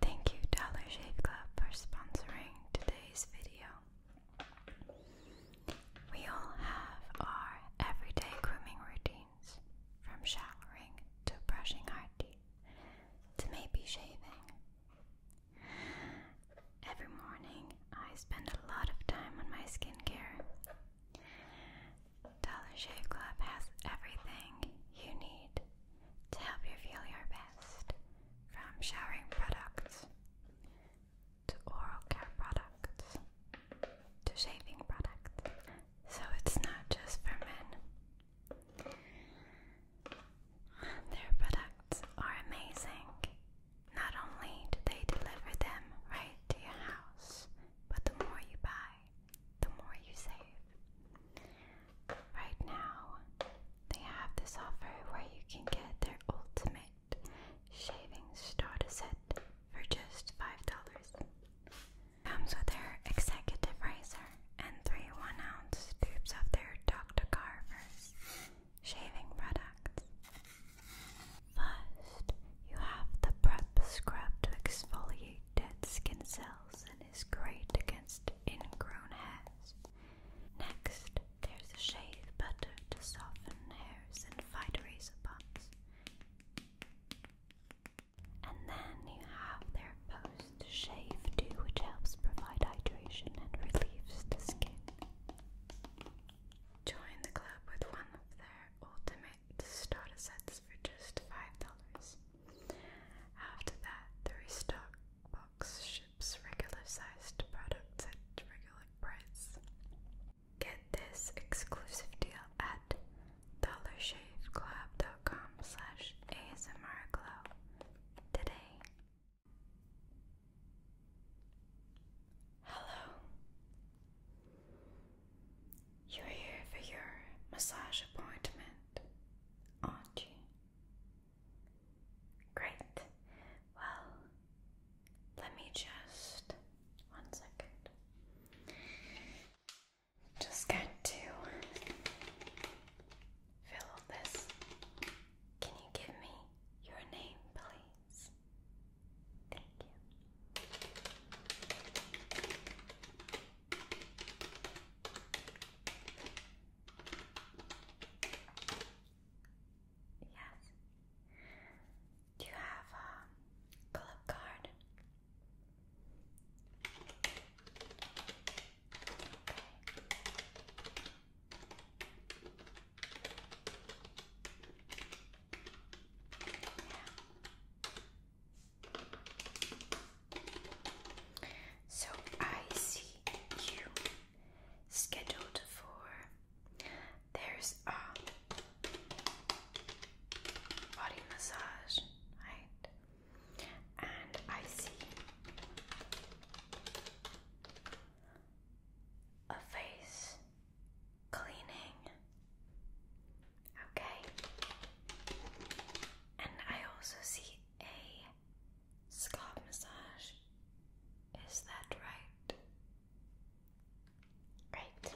Thank you Dollar Shave Club for sponsoring today's video. We all have our everyday grooming routines, from showering to brushing our teeth to maybe shaving. Every morning I spend a lot of time on my skincare. Dollar Shave Club has everything you need to help you feel your best from showering products to oral care products to shaving products. So it's not just for men. Their products are amazing. Not only do they deliver them right to your house, but the more you buy, the more you save. Right now, they have this offer where you can get their ultimate shavings starter set for just $5. Comes with their executive razor and three 1 ounce tubes of their Dr. Carver's shaving products. First, you have the Prep Scrub to exfoliate dead skin cells and is great against ingrown hairs. Next, there's a shave butter to soften hairs and fight razor bumps. And then you have their post shave too, which helps provide hydration and relieves the skin. Join the club with one of their ultimate McCormick sets for just $5. After that, the restock box ships regular sized products at regular price. Get this exclusive deal at dollarshaveclub.com asmrglow today. Hello. You're here for your massage appointment, aren't you? Great. Well, let me just one second. Just going to fill this. Can you give me your name, please? Thank you. Yes. Do you have a um, club card? So I see you scheduled for there's a body massage, right? And I see a face cleaning Okay. And I also see a scalp massage. Is that right? Right.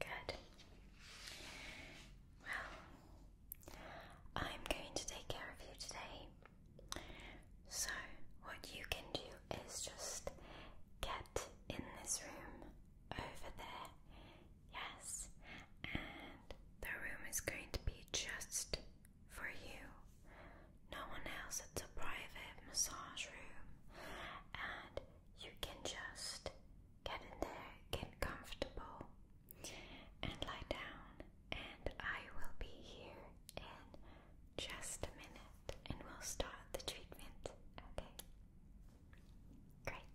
Good. Well, I'm going to take care of you today. So, what you can do is just get in this room over there. Yes. And the room is going to be just for you. No one else. It's a private massage room. And you can just get in there, get comfortable, and lie down. And I will be here in just a minute and we'll start the treatment, okay? Great.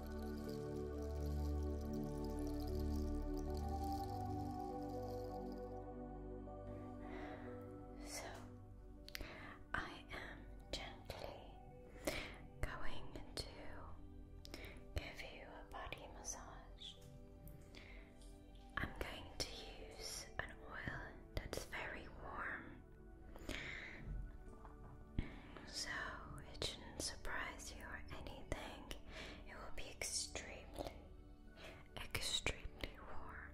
So I am gently going to give you a body massage. I'm going to use an oil that's very warm. So it shouldn't surprise you or anything. It will be extremely, extremely warm.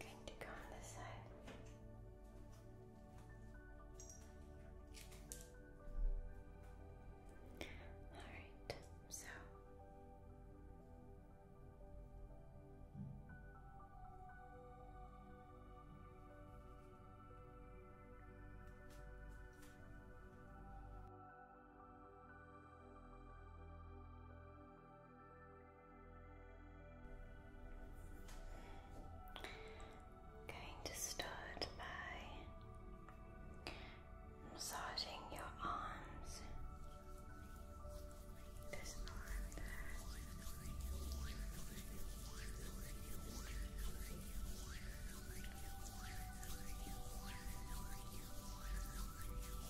Going to go on this side. Alright, so Going to start by massaging your arms.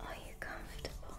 Are you comfortable?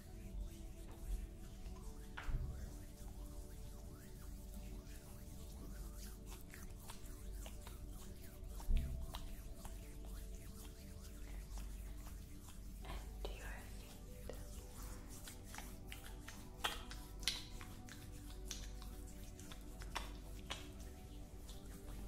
And your feet. Your feet.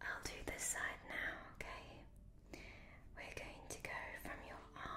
I'm will do this side now, okay? We're going to go from your arm.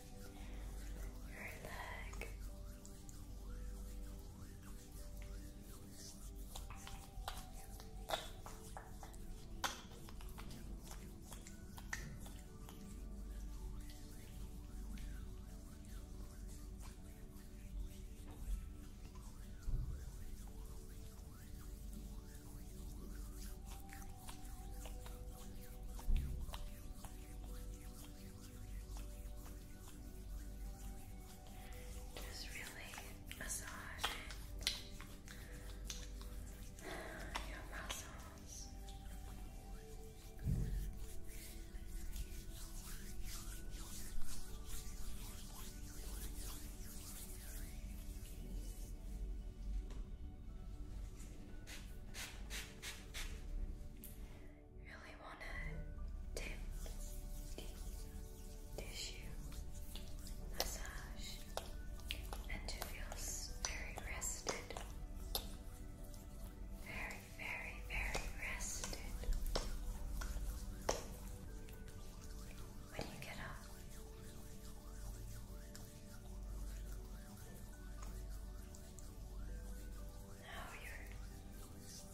your leg. Your just really massaging your muscles really want to dip in tissue massage and to feel very rested. Very, very, very rested. When you get up, now your other foot.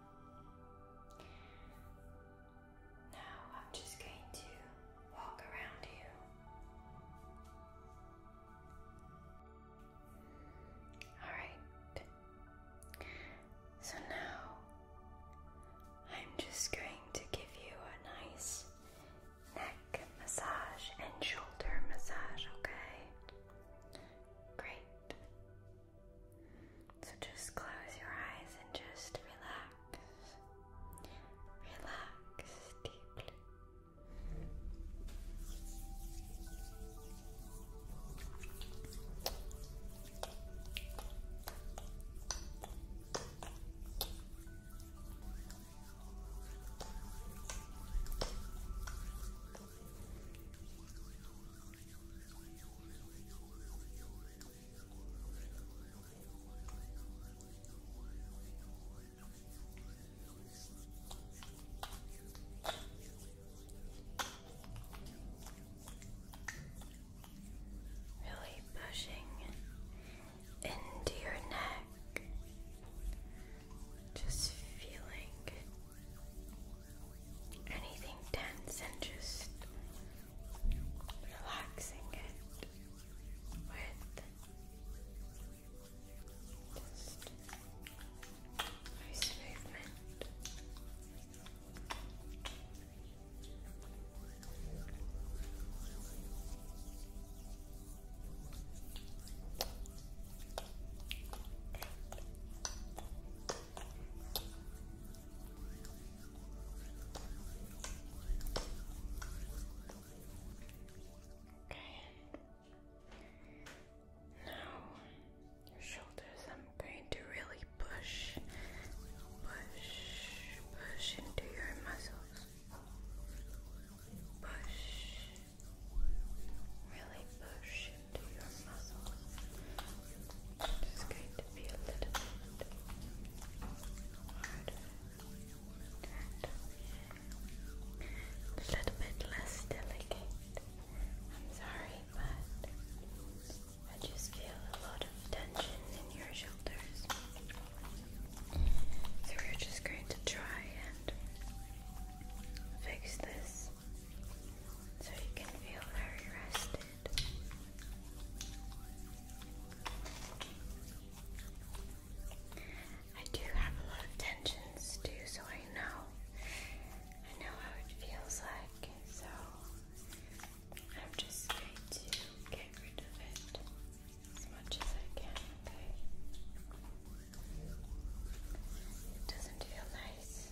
Now I'm just going to walk around you. Alright. So now I'm just going to give you a nice neck massage and shoulder massage, okay? Great. So just close your eyes and just relax. Relax deeply. Really pushing into your neck, just feeling anything tense and just relaxing it with just nice movement. Okay. Now your shoulders I'm going to really push, push, push into your muscles. Push. Really push into going to be a little bit harder a little bit less delicate. I'm sorry, but I just feel a lot of tension in your shoulders. So we're just going to try and fix this so you can feel very rested. I do have a lot of tensions too, so I know. I know how it feels like, so I'm just going to get rid of it as much as I can, okay? doesn't feel nice nice.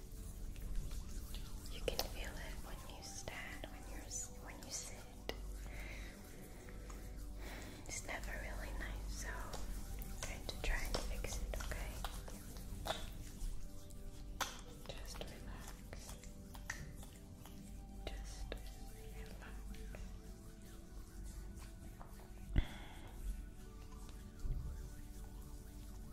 You can feel it when you stand, when you when you sit. It's never really nice, so I'm going to try and fix it, okay? Just relax. Just relax.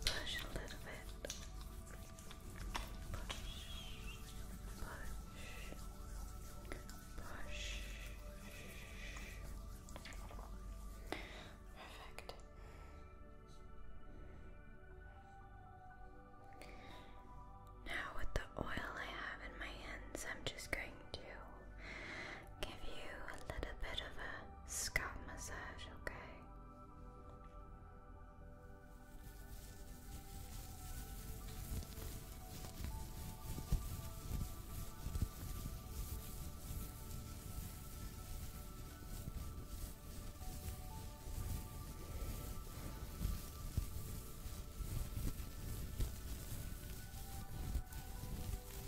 Push a little bit. Push, push, push. Perfect. Now, with the oil I have in my hands, I'm just going to give you a little bit of a scalp massage, okay? Okay. Try to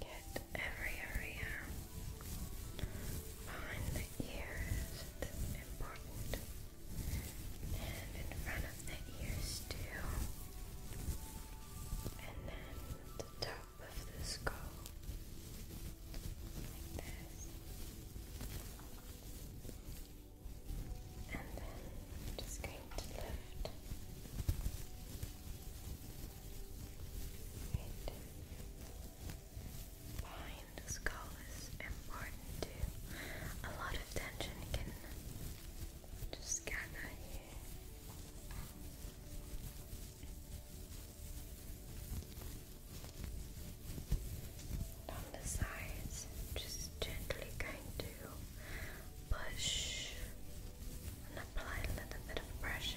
get every area behind the ears important and in front of the ears too and then the top of the skull, like this, and then I'm just going to lift. behind the skull is important too. A lot of tension can just gather here. on the sides, just gently going to push and apply a little bit of pressure.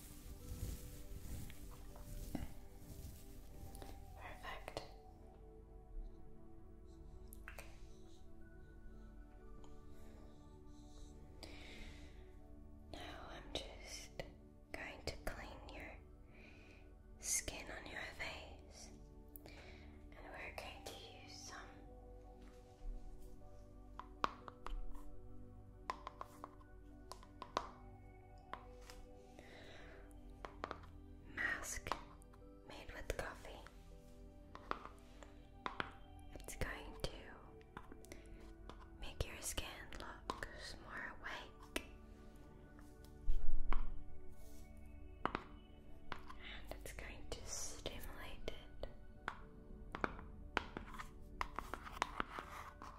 Perfect. Now I'm just going to clean your skin on your face, and we're going to use some Mask made with coffee. It's going to make your skin look more awake. And it's going to stimulate it.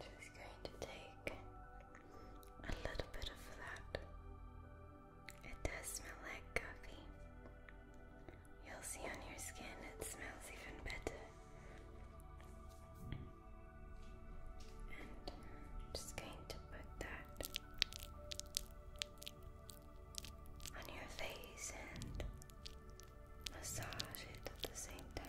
Just going to take a little bit of that. It does smell like coffee. You'll see on your skin it smells even better. And just going to put that on your face and massage it at the same time.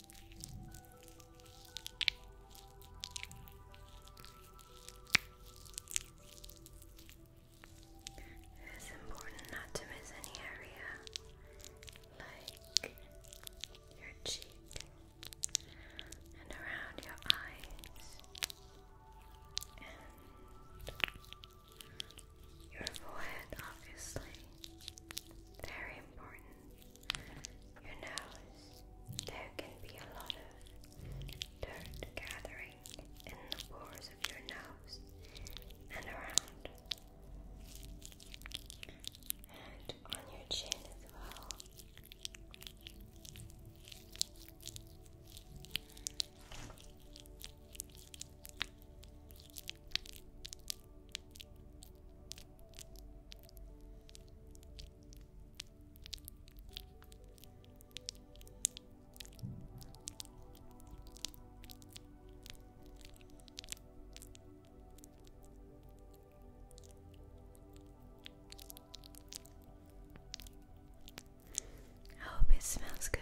It is important not to miss any area like your cheek and around your eyes and your forehead, obviously. Very important your nose. There can be a lot of dirt gathering in the pores of your nose and around. And on your chin as well. I hope it smells good.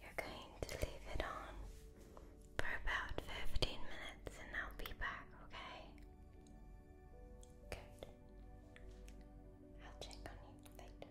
You're going to leave it on for about 15 minutes and I'll be back, okay? Good. I'll check on you later.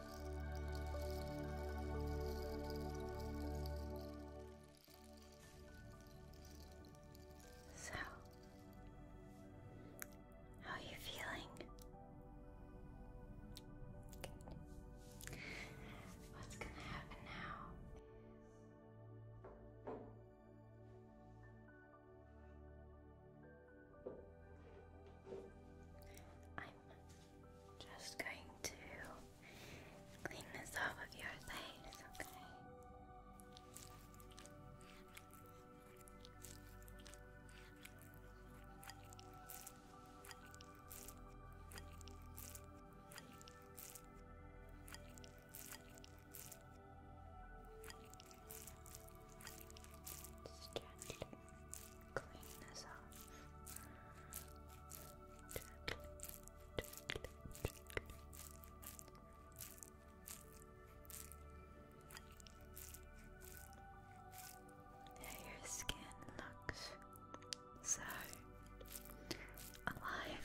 So, how are you feeling? What's going to happen now? I'm just going to clean this off of your face, okay? gently clean this off. Yeah, your skin looks so alive.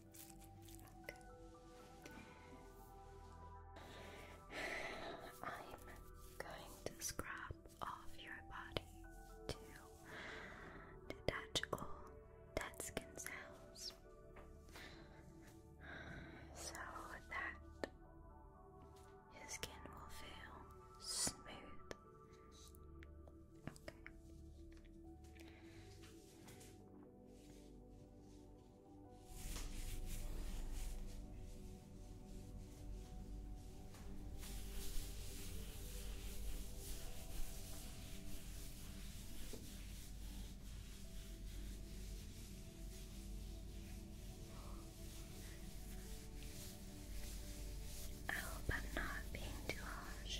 I'm going to scrub off your body to detach all dead skin cells so that your skin will feel smooth. Okay. I hope I'm not being too harsh.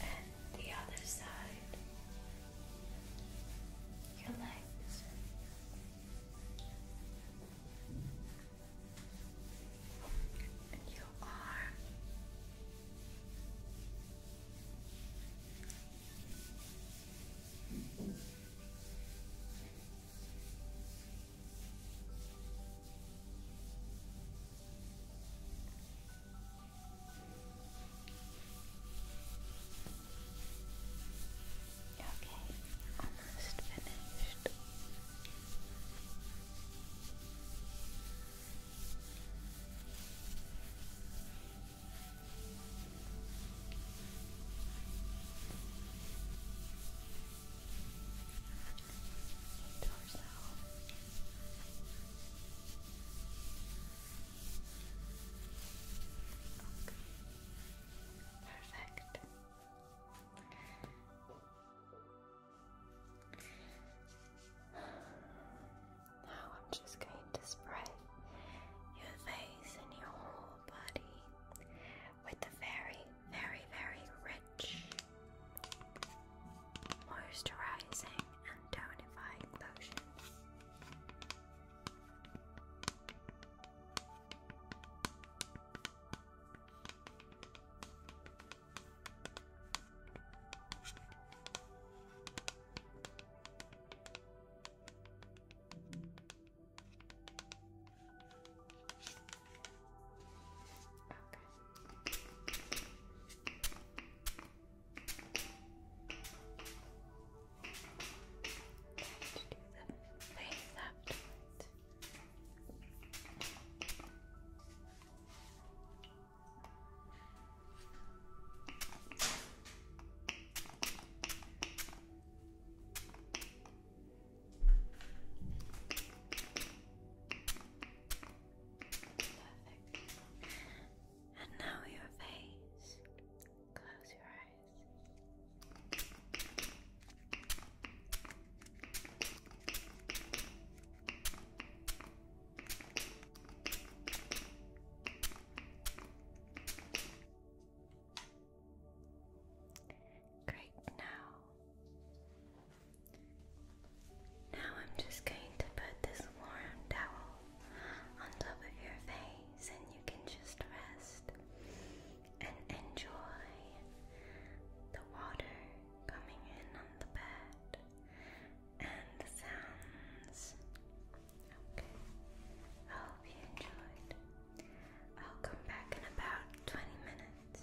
And the other side, your legs. And you Okay, almost finished. Torso. Okay. Perfect. Now I'm just going to spray your face and your whole body with the very, very, very rich, moisturizing and tonifying lotion face afterwards. Okay. Perfect. And now your face. Close your eyes. Great, now. Now I'm just going to put this warm towel on top of your face, and you can just rest and enjoy the water coming in on the bed and sounds. Okay. I hope you enjoyed. I'll come back in about 20 minutes.